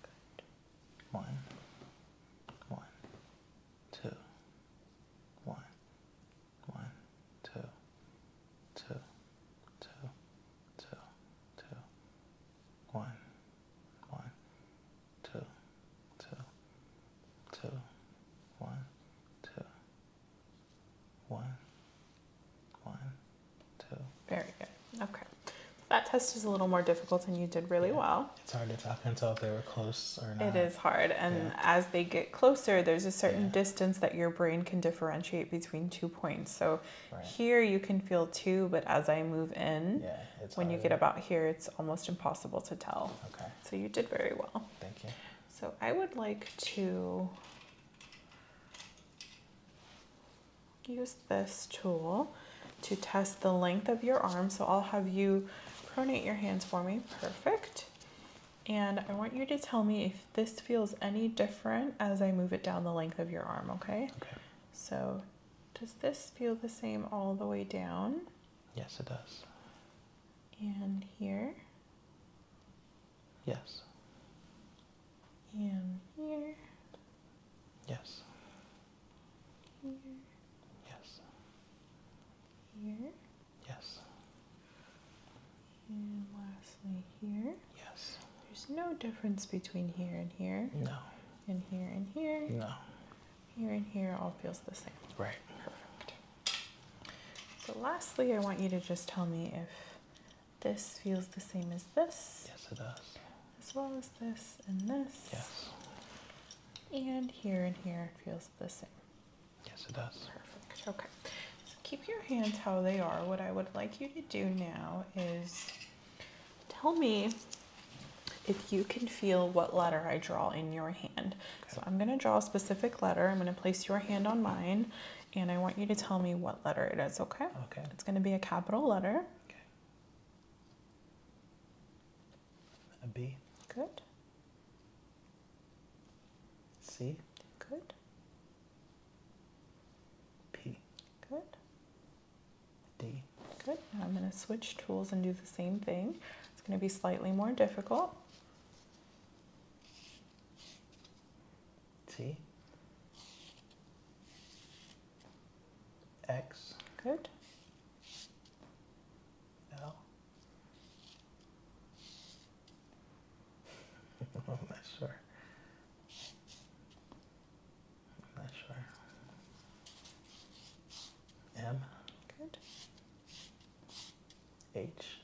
good. One, one, two, one, one, two, two, two, two, two, one, one, two, two, two, one, two, one, one, two. Very good. Okay. That test is a little more difficult, and you did really well. It's hard to tell, tell if they were close or not. It is hard, and as they get closer, there's a certain distance that your brain can differentiate between two points. So here you can feel two, but as I move in, when you get about here, it's almost impossible to tell. Okay. So you did very well. Thank you. So I would like to use this tool to test the length of your arm. So I'll have you pronate your hands for me. Perfect. And I want you to tell me if this feels any different as I move it down the length of your arm, okay? Okay. So does this feel the same all the way down? Yes, it does. And here? Yes. And here? Yes. Here? Yes. Here? Yes. And lastly here? Yes. There's no difference between here and here? No. And here and here? No here and here all feels the same. Right. Perfect. So lastly, I want you to just tell me if this feels the same as this. Yes, it does. As well as this and this. Yes. And here and here feels the same. Yes, it does. Perfect. Okay. So keep your hands how they are. What I would like you to do now is Tell me if you can feel what letter I draw in your hand. So I'm going to draw a specific letter. I'm going to place your hand on mine, and I want you to tell me what letter it is, okay? Okay. It's going to be a capital letter. Okay. A B. Good. C. Good. P. Good. D. Good. Now I'm going to switch tools and do the same thing. It's going to be slightly more difficult. T. X. Good. L. I'm not sure not sure. M. Good. H.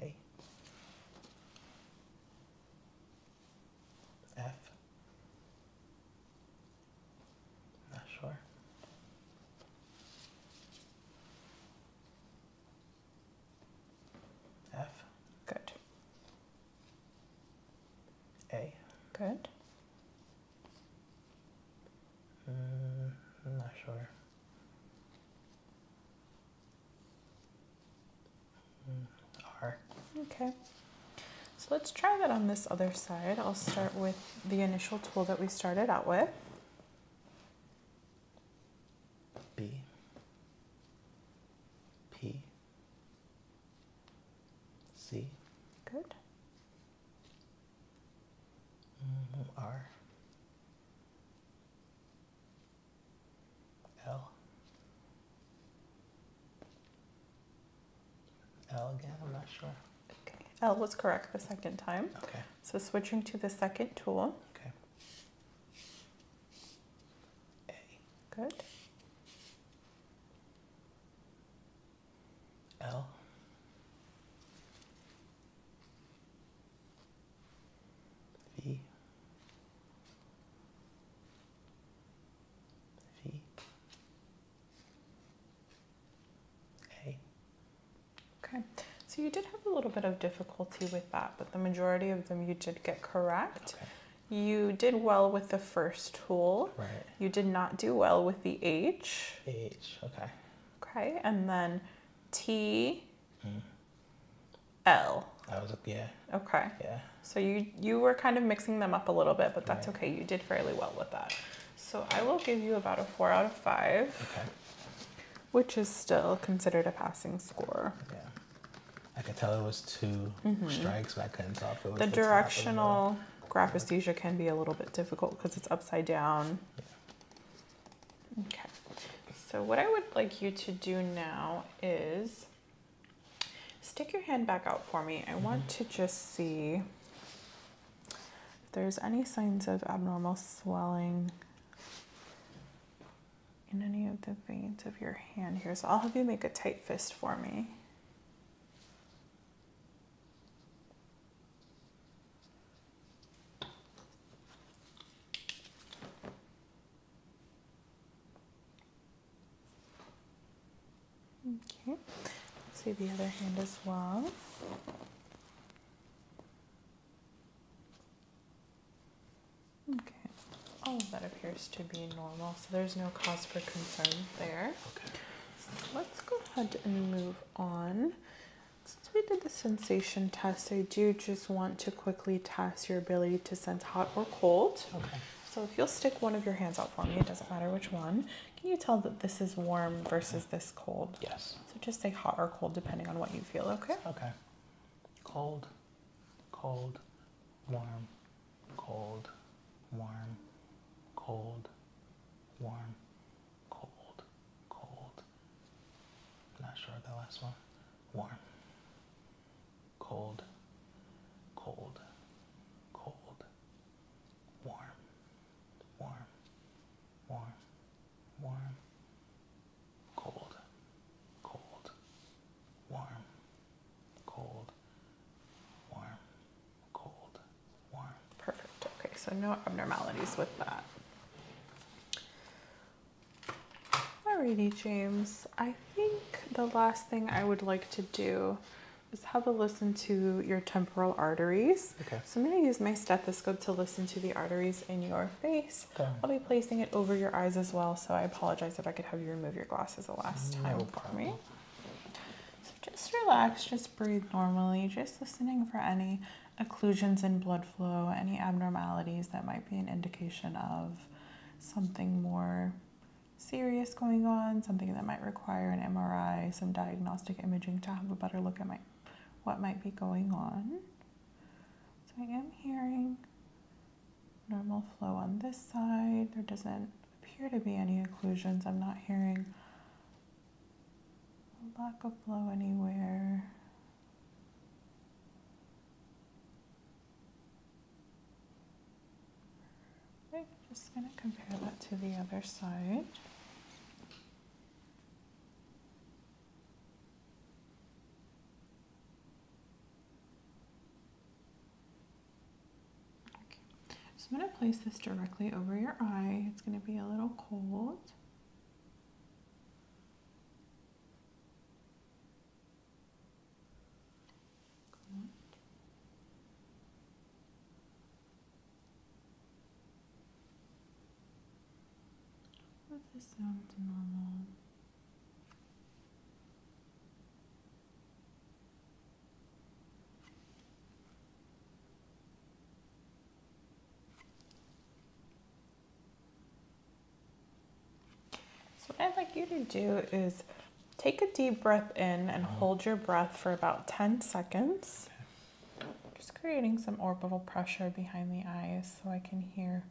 A. F. Not sure. F. Good. A. Good. Mm, I'm not sure. Mm, R. Okay. So let's try that on this other side. I'll start with the initial tool that we started out with. B. P. C. Good. Mm, R. L. L again, I'm not sure. Okay. L was correct the second time. Okay. So switching to the second tool. Okay. A. Good. L. V. V. A. Okay, so you did have a little bit of difficulty with that, but the majority of them you did get correct. You did well with the first tool. Right. You did not do well with the H. H, okay. Okay, and then T, mm. was, yeah. Okay. Yeah. So you, you were kind of mixing them up a little bit, but that's okay. You did fairly well with that. So I will give you about a four out of five. Okay. Which is still considered a passing score. Yeah. I could tell it was 2 mm-hmm. strikes, but I couldn't tell if it the, directional the can be a little bit difficult because it's upside down. Okay. So what I would like you to do now is stick your hand back out for me. I mm-hmm. want to just see if there's any signs of abnormal swelling in any of the veins of your hand here. So I'll have you make a tight fist for me. Okay, let's do the other hand as well. Okay. Hmm. Okay. that appears to be normal, so there's no cause for concern there. Okay. let's go ahead and move on. Since we did the sensation test, I do just want to quickly test your ability to sense hot or cold. Okay. So if you'll stick one of your hands out for me, it doesn't matter which one. Can you tell that this is warm versus this cold? Yes. So just say hot or cold depending on what you feel, okay? Okay. Cold, cold, warm, cold, warm, cold, warm, cold, cold. not sure of the last one. Warm, cold, cold, cold, warm, warm, warm, warm, cold, cold, warm, cold, warm, cold, warm. Perfect. Okay, so no abnormalities with that. Alrighty, James. I think the last thing I would like to do is have a listen to your temporal arteries. Okay. So I'm going to use my stethoscope to listen to the arteries in your face. Okay. I'll be placing it over your eyes as well, so I apologize if I could have you remove your glasses the last no time problem. for me. So just relax, just breathe normally, just listening for any occlusions in blood flow, any abnormalities that might be an indication of something more serious going on, something that might require an MRI, some diagnostic imaging to have a better look at what might be going on. So I am hearing normal flow on this side. There doesn't appear to be any occlusions. I'm not hearing a lack of flow anywhere. I'm just going to compare that to the other side. I'm going to place this directly over your eye. It's going to be a little cold. Good. But normal. So what I'd like you to do is take a deep breath in and mm-hmm. hold your breath for about 10 seconds. Just creating some orbital pressure behind the eyes so I can hear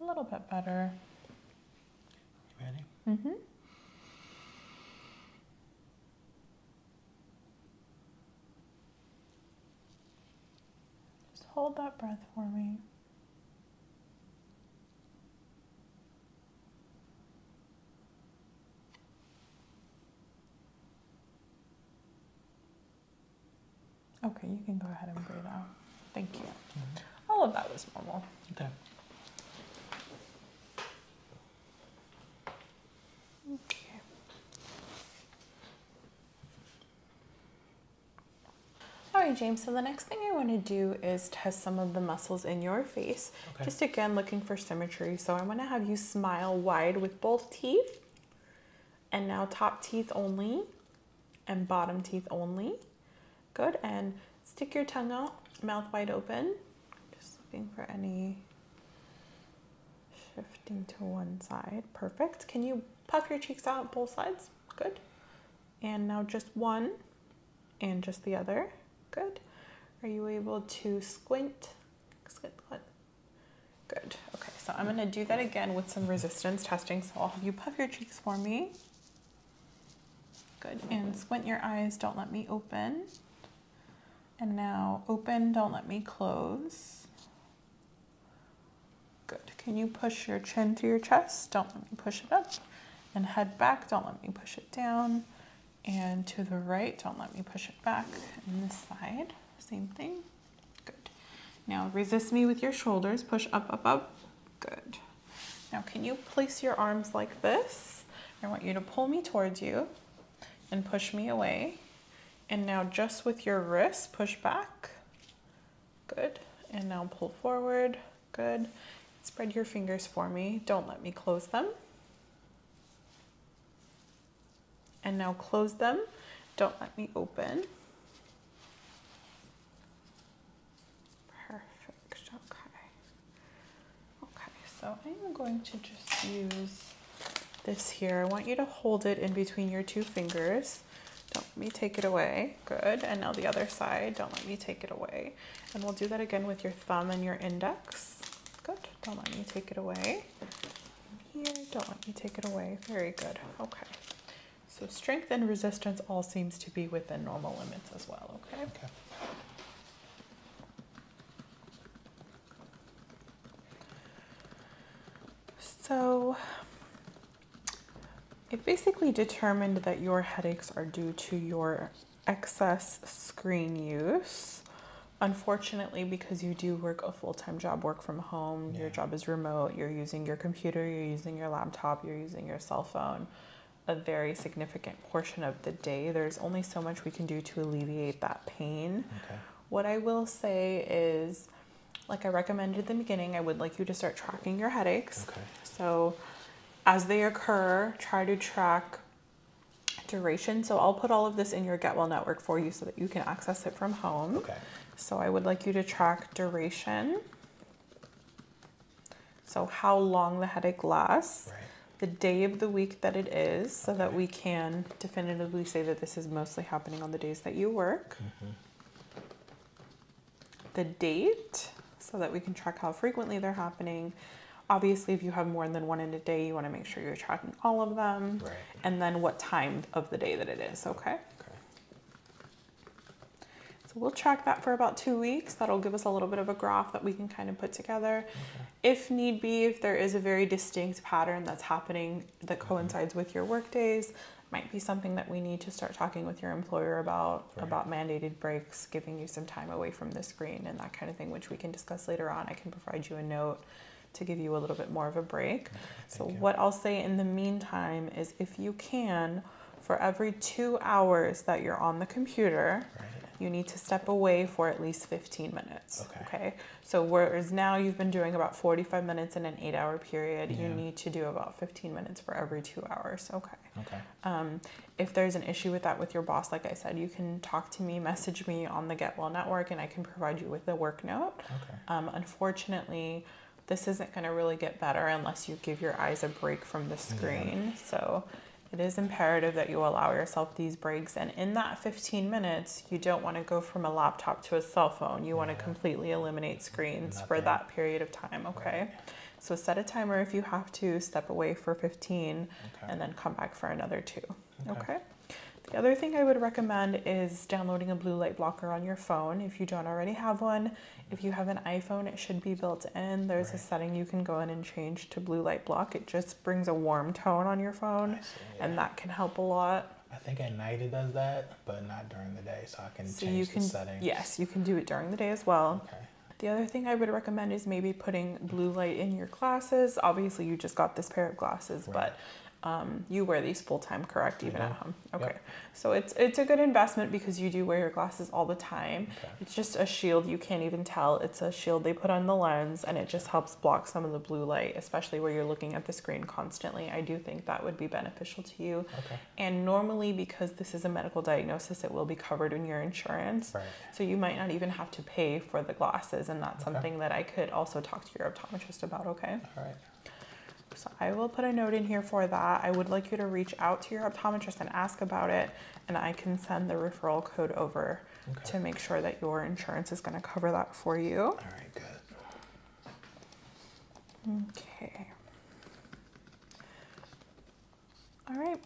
a little bit better. You ready? Mm-hmm. Just hold that breath for me. Okay, you can go ahead and breathe out. Thank you. Mm -hmm. All of that was normal. Okay. Okay. All right, James, so the next thing I want to do is test some of the muscles in your face. Just again, looking for symmetry. So i want to have you smile wide with both teeth. And now top teeth only and bottom teeth only. Good, and stick your tongue out, mouth wide open. Just looking for any shifting to one side. Perfect. Can you puff your cheeks out both sides? Good. And now just one and just the other. Good. Are you able to squint? Squint, squint. Good. Okay, so I'm gonna do that again with some resistance testing. So I'll have you puff your cheeks for me. Good, and squint your eyes, don't let me open. And now open, don't let me close. Good, can you push your chin to your chest? Don't let me push it up. And head back, don't let me push it down. And to the right, don't let me push it back. And this side, same thing. Good. Now resist me with your shoulders, push up, up, up. Good. Now, can you place your arms like this? I want you to pull me towards you and push me away. And now just with your wrists, push back. Good. And now pull forward. Good. Spread your fingers for me. Don't let me close them. And now close them. Don't let me open. Perfect. Okay. Okay, so I'm going to just use this here. I want you to hold it in between your two fingers. Don't let me take it away. Good. And now the other side. Don't let me take it away. And we'll do that again with your thumb and your index. Good. Don't let me take it away. Here. Don't let me take it away. Very good. Okay. So strength and resistance all seems to be within normal limits as well. Okay. Okay. So it basically determined that your headaches are due to your excess screen use. Unfortunately, because you do work a full time job, work from home, your job is remote, you're using your computer, you're using your laptop, you're using your cell phone a very significant portion of the day. There's only so much we can do to alleviate that pain. What I will say is, like I recommended at the beginning, I would like you to start tracking your headaches. So, as they occur, try to track duration. So, I'll put all of this in your Get Well network for you so that you can access it from home. So, I would like you to track duration. So how long the headache lasts, the day of the week that it is, so that we can definitively say that this is mostly happening on the days that you work. Mm-hmm. The date, so that we can track how frequently they're happening. Obviously, if you have more than one in a day, you want to make sure you're tracking all of them. Right. And then what time of the day that it is, Okay. So we'll track that for about two weeks. That'll give us a little bit of a graph that we can kind of put together. If need be, if there is a very distinct pattern that's happening that coincides with your work days, might be something that we need to start talking with your employer about about mandated breaks, giving you some time away from the screen and that kind of thing, which we can discuss later on. I can provide you a note to give you a little bit more of a break. so what I'll say in the meantime is if you can, for every two hours that you're on the computer, you need to step away for at least 15 minutes. Okay. So, whereas now you've been doing about 45 minutes in an eight hour period, you need to do about 15 minutes for every two hours. Okay. Okay. Um, if there's an issue with that with your boss, like I said, you can talk to me, message me on the Get Well Network, and I can provide you with a work note. Okay. Um, unfortunately, this isn't going to really get better unless you give your eyes a break from the screen. So, it is imperative that you allow yourself these breaks. And in that 15 minutes, you don't want to go from a laptop to a cell phone. You want to completely eliminate screens for that period of time, okay? So set a timer if you have to, step away for 15, and then come back for another two, okay? The other thing I would recommend is downloading a blue light blocker on your phone if you don't already have one. If you have an iPhone, it should be built in. There's a setting you can go in and change to blue light block, it just brings a warm tone on your phone, and that can help a lot. I think at night it does that, but not during the day, so I can so change you can, the settings. Yes, you can do it during the day as well. The other thing I would recommend is maybe putting blue light in your glasses. Obviously, you just got this pair of glasses, but um, you wear these full time, correct? Even at home. Okay. So it's it's a good investment because you do wear your glasses all the time, mm-hmm. It's just a shield. You can't even tell. It's a shield they put on the lens and it just helps block some of the blue light, especially where you're looking at the screen constantly. I do think that would be beneficial to you. Okay. And normally, because this is a medical diagnosis, it will be covered in your insurance. Right. So you might not even have to pay for the glasses. And that's something that I could also talk to your optometrist about, okay? All right. So I will put a note in here for that. I would like you to reach out to your optometrist and ask about it and I can send the referral code over to make sure that your insurance is going to cover that for you. All right, good. Okay. All right.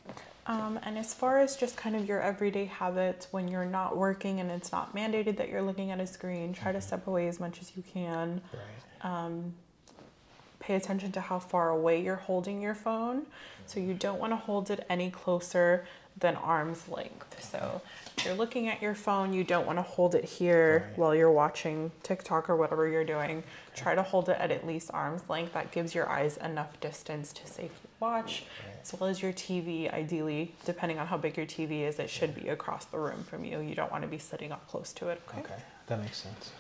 Um, and as far as just kind of your everyday habits, when you're not working and it's not mandated that you're looking at a screen, try to mm-hmm. step away as much as you can. Right. Um, pay attention to how far away you're holding your phone. So you don't want to hold it any closer than arm's length. So if you're looking at your phone, you don't want to hold it here while you're watching TikTok or whatever you're doing. Try to hold it at at least arm's length. That gives your eyes enough distance to safely watch, as well as your TV. Ideally, depending on how big your TV is, it should be across the room from you. You don't want to be sitting up close to it. okay. that makes sense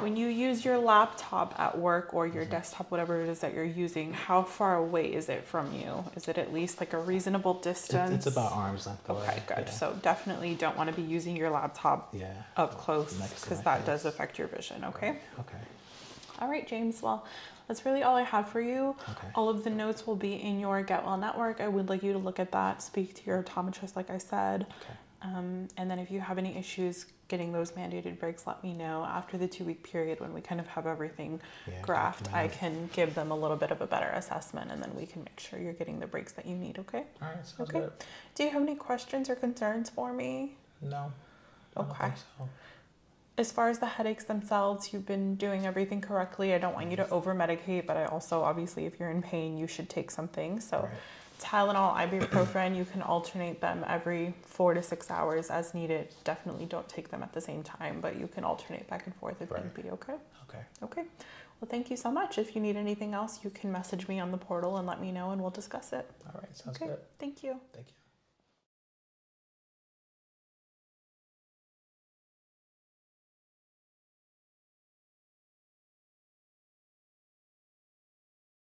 when you use your laptop at work or your desktop, whatever it is that you're using, how far away is it from you? Is it at least like a reasonable distance? it's about arm's length Okay, good. So definitely don't want to be using your laptop up close because that does affect your vision, okay? Okay. All right, James. Well, that's really all I have for you. Okay. All of the notes will be in your Get Well Network. I would like you to look at that, speak to your optometrist, like I said. Okay. Um, and then if you have any issues, getting those mandated breaks, let me know. After the two week period, when we kind of have everything graphed, I can give them a little bit of a better assessment and then we can make sure you're getting the breaks that you need, okay? All right, okay. Do you have any questions or concerns for me? No. Okay. As far as the headaches themselves, you've been doing everything correctly. I don't want you to mm-hmm. over medicate, but I also, obviously, if you're in pain, you should take something. So, Tylenol, ibuprofen, you can alternate them every four to six hours as needed. Definitely don't take them at the same time, but you can alternate back and forth if right. need be, okay? Okay. Okay. Well, thank you so much. If you need anything else, you can message me on the portal and let me know, and we'll discuss it. All right. Sounds good. Thank you. Thank you.